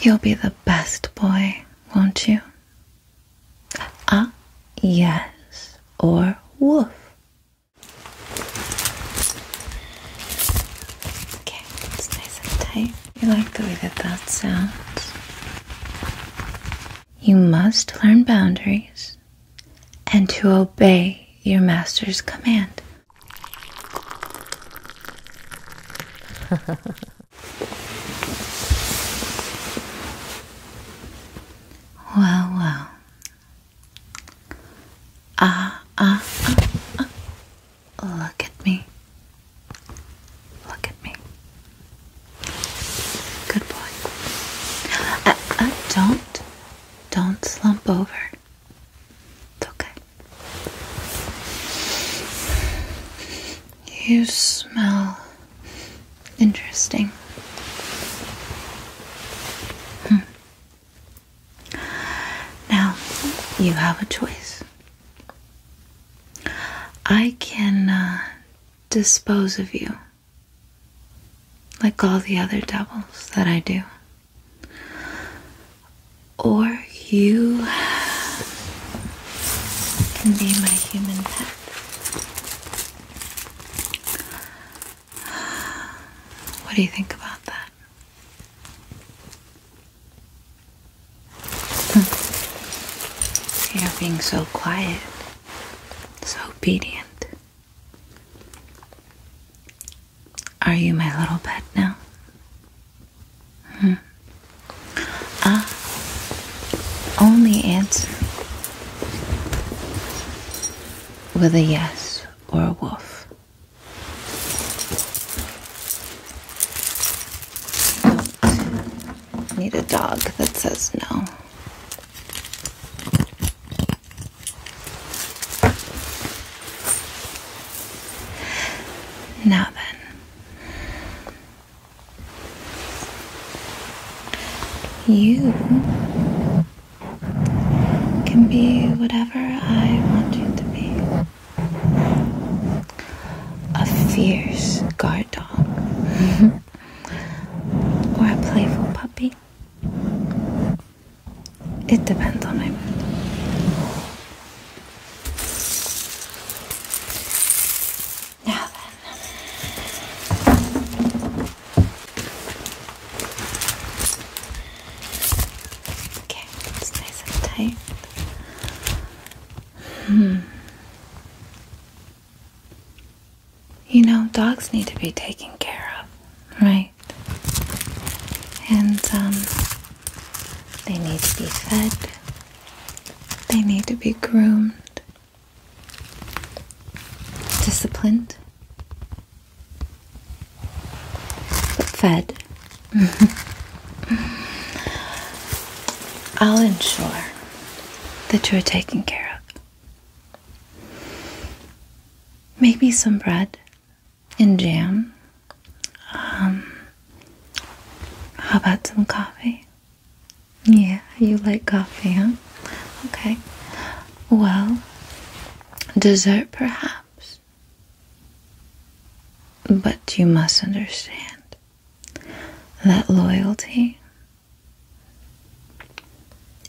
You'll be the best boy, won't you? Ah, yes, or woof. Okay, it's nice and tight. You like the way that that sounds. You must learn boundaries and to obey your master's command. Wow, Ah, ah, ah, ah. Look at me. Look at me. Good boy. Uh, uh, don't, don't slump over. It's okay. You smell interesting. Hmm. Now, you have a choice. I can uh, dispose of you like all the other devils that I do or you can be my human pet. What do you think about that? Hmm. You're being so quiet, so obedient. Are you my little pet now? Hmm. Ah. only answer with a yes or a woof. need a dog that says no. Now then. You can be whatever I want you to be. A fierce guard dog. or a playful puppy. It depends on me. Now then. Okay, it's nice and tight. Hmm. You know, dogs need to be taken care of, right? And, um, they need to be fed. They need to be groomed, disciplined, fed. I'll ensure that you're taken care of. Maybe some bread and jam. Um, how about some coffee? Yeah, you like coffee, huh? Okay. Well, dessert perhaps. But you must understand that loyalty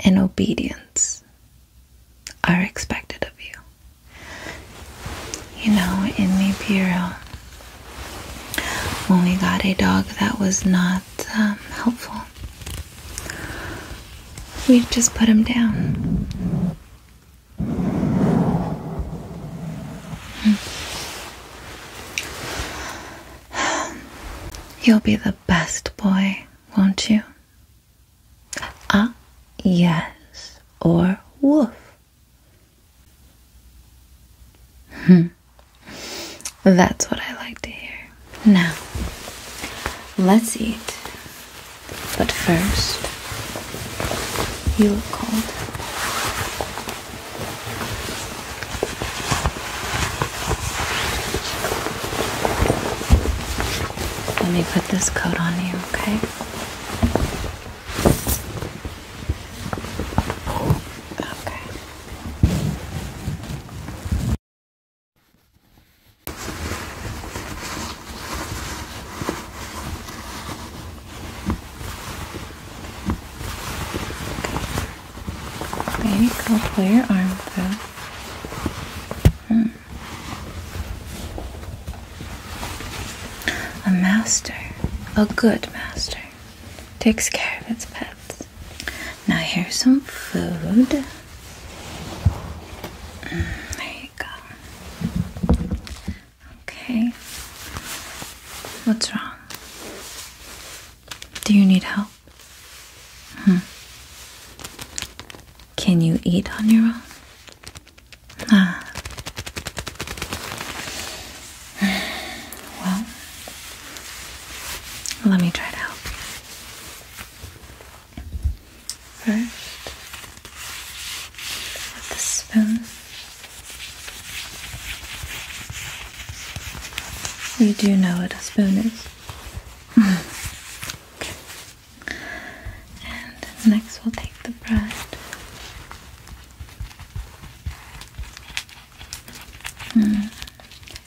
and obedience are expected of you. You know, in the bureau, when we got a dog that was not um, helpful, we just put him down. Hmm. You'll be the best boy, won't you? Ah, yes, or woof. Hmm. That's what I like to hear. Now, let's eat. But first, you look cold. Let me put this coat on you, okay? Okay. Okay, go pull your arm through. Hmm. A master, a good master, takes care of its pets. Now, here's some food. Mm, there you go. Okay. What's wrong? Do you need help? Hmm. Can you eat on your own? Ah. Well, let me try to help you. First, with the spoon, you do know what a spoon is. okay. And next, we'll take the bread Hmm.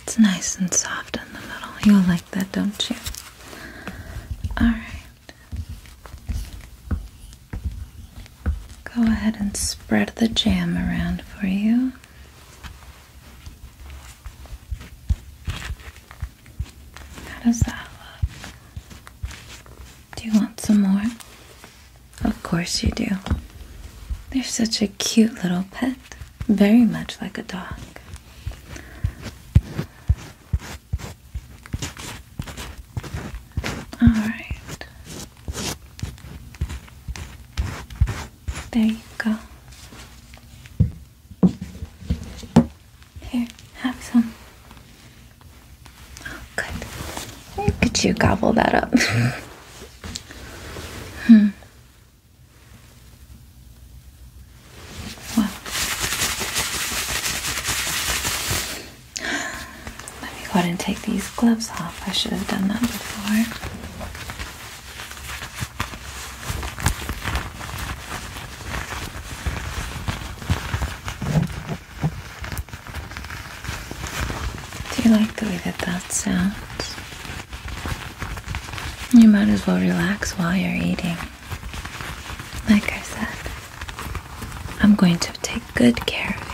It's nice and soft in the middle. You'll like that, don't you? Alright. Go ahead and spread the jam around for you. How does that look? Do you want some more? Of course you do. They're such a cute little pet, very much like a dog. All right. There you go. Here, have some. Good. Could you gobble that up. hmm. Well. Let me go ahead and take these gloves off. I should have done that before. Do you like the way that that sounds? You might as well relax while you're eating. Like I said, I'm going to take good care of you.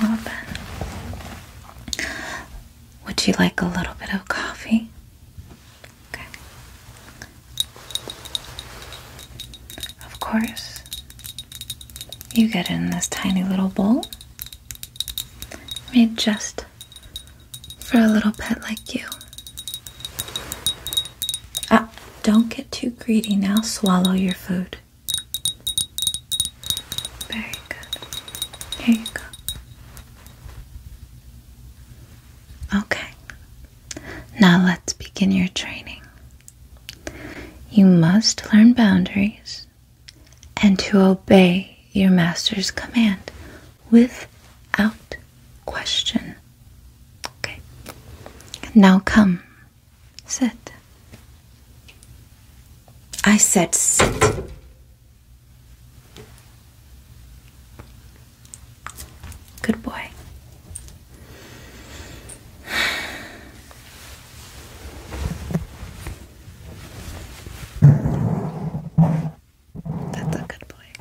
Well then, would you like a little bit of coffee? Okay. Of course. You get in this tiny little bowl. Made just for a little pet like you. Ah, don't get too greedy now. Swallow your food. Very good. Here you go. Okay. Now let's begin your training. You must learn boundaries and to obey your master's command without question. Okay. Now come. Sit. I said sit. Good boy. That's a good boy.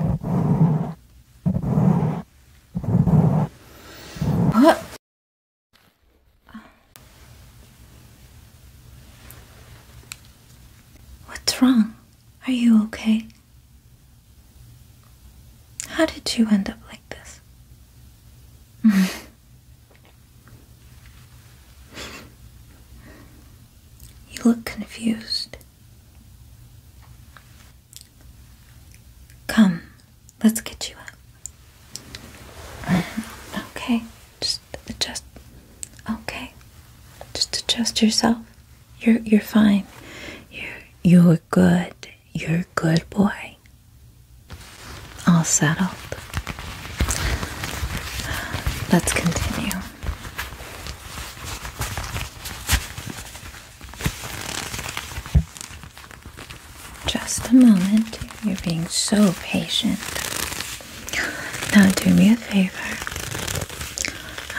What? What's wrong? Are you okay? How did you end up like this? you look confused. Come, let's get you up. Okay, just adjust. Okay, just adjust yourself. You're you're fine. You're you're good. You're good boy. All settled. Let's continue. Just a moment. You're being so patient. Now, do me a favor.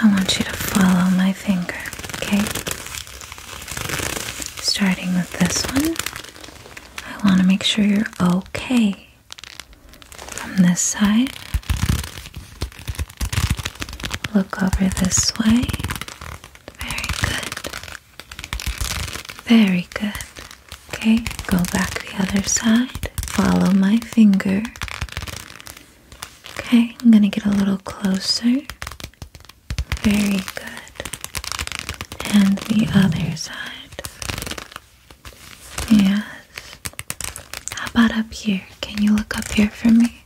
I want you to follow my finger, okay? Starting with this one, I want to make sure you're okay. From this side, look over this way. Very good. Very good. Okay, go back the other side. Follow my finger. Okay, I'm going to get a little closer. Very good. And the other side. Yes. How about up here? Can you look up here for me?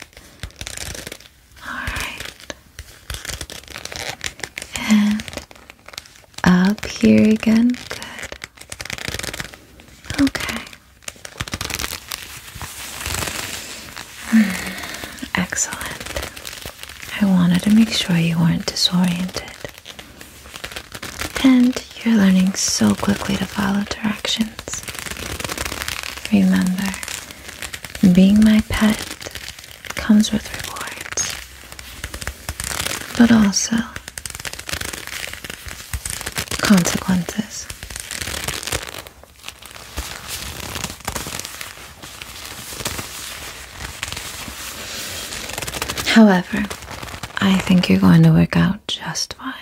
Alright. And up here again. Good. Okay. Hmm, excellent. I wanted to make sure you weren't disoriented. And you're learning so quickly to follow directions. Remember, being my pet comes with rewards, but also consequences. However, I think you're going to work out just fine.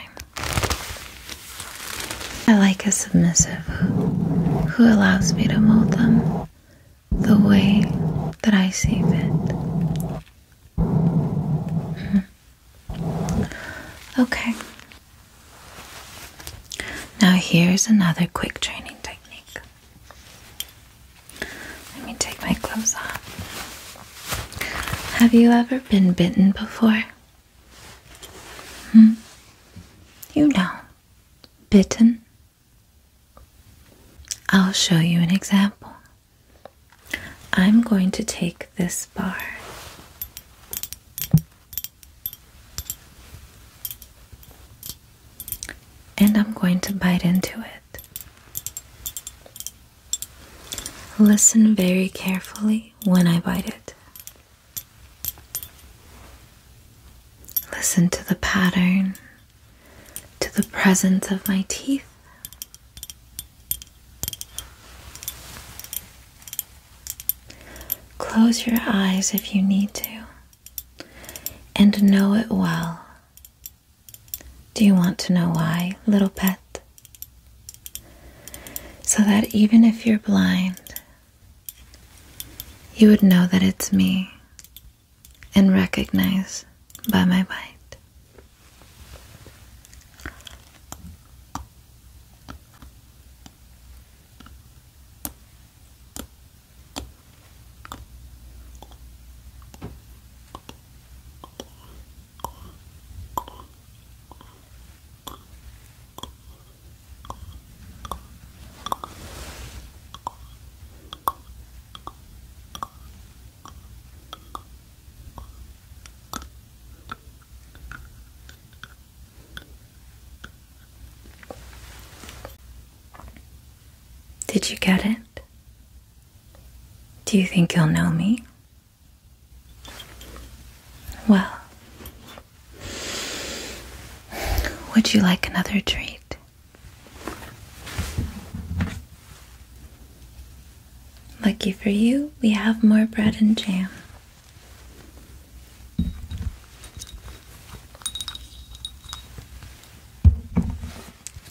I like a submissive who allows me to mold them the way that I see fit. Mm-hmm. Okay. Now, here's another quick training technique. Let me take my clothes off. Have you ever been bitten before? Hmm? You know bitten? I'll show you an example. I'm going to take this bar. And I'm going to bite into it. Listen very carefully when I bite it. Listen to the pattern, to the presence of my teeth. Close your eyes if you need to and know it well. Do you want to know why, little pet? So that even if you're blind, you would know that it's me and recognize by my bite. Did you get it? Do you think you'll know me? Well, would you like another treat? Lucky for you, we have more bread and jam.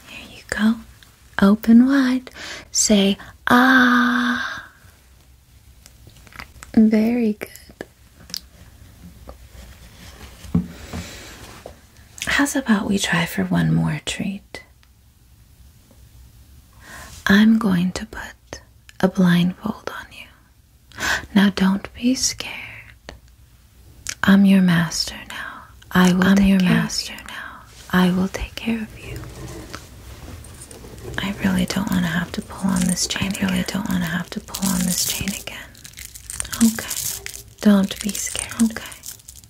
Here you go. Open wide. Say, ah. Very good. How's about we try for one more treat? I'm going to put a blindfold on you. Now don't be scared. I'm your master now. I will I'm take your care master of you. now. I will take care of you. I really don't want to have to pull on this chain. I really don't want to have to pull on this chain again. Okay. Don't be scared. Okay.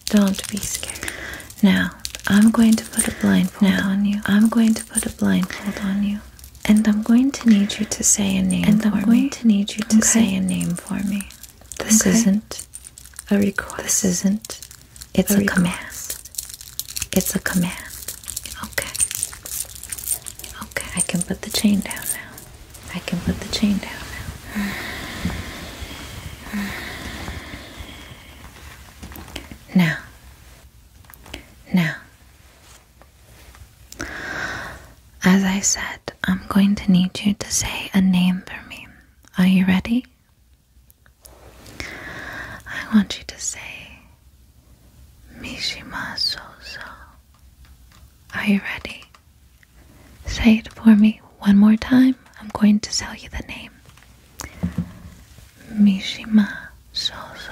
Don't be scared. Now, I'm going to put a blindfold now, on you. I'm going to put a blindfold on you. And I'm going to need you to say a name and I'm going to need you to say a name for me. This isn't a request. This isn't. It's a command. It's a command. Okay. Okay, I can put the chain down now. I can put the chain down now. Now. Now. As I said, I'm going to need you to say a name for me. Are you ready? I want you to say Mishima Soso. Are you ready? Say it for me one more time. I'm going to tell you the name. Mishima Soso.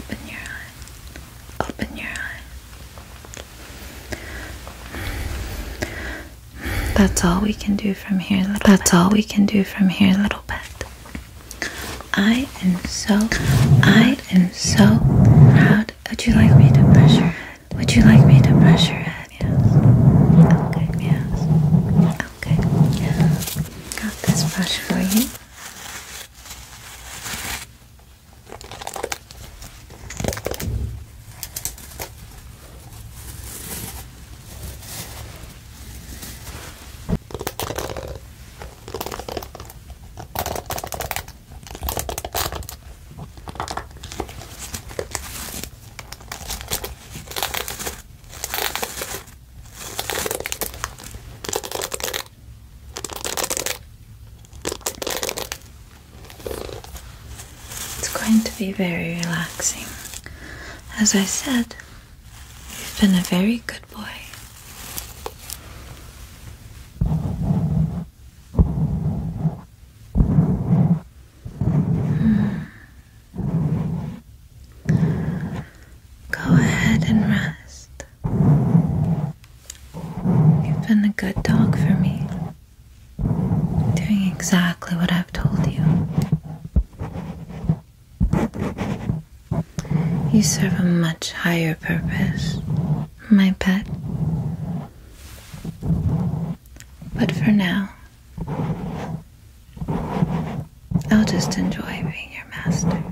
Open your eye. Open your eye. That's all we can do from here. That's all we can do from here, little pet. I am so, I am so proud. Would you like me to brush your head? Would you like me to brush your head? Yes. Okay. Yes. Okay, got this brush for you. It's going to be very relaxing. As I said, you've been a very good boy. Hmm. Go ahead and rest. You've been a good dog for me, doing exactly what I've told you. You serve a much higher purpose, my pet. But for now, I'll just enjoy being your master.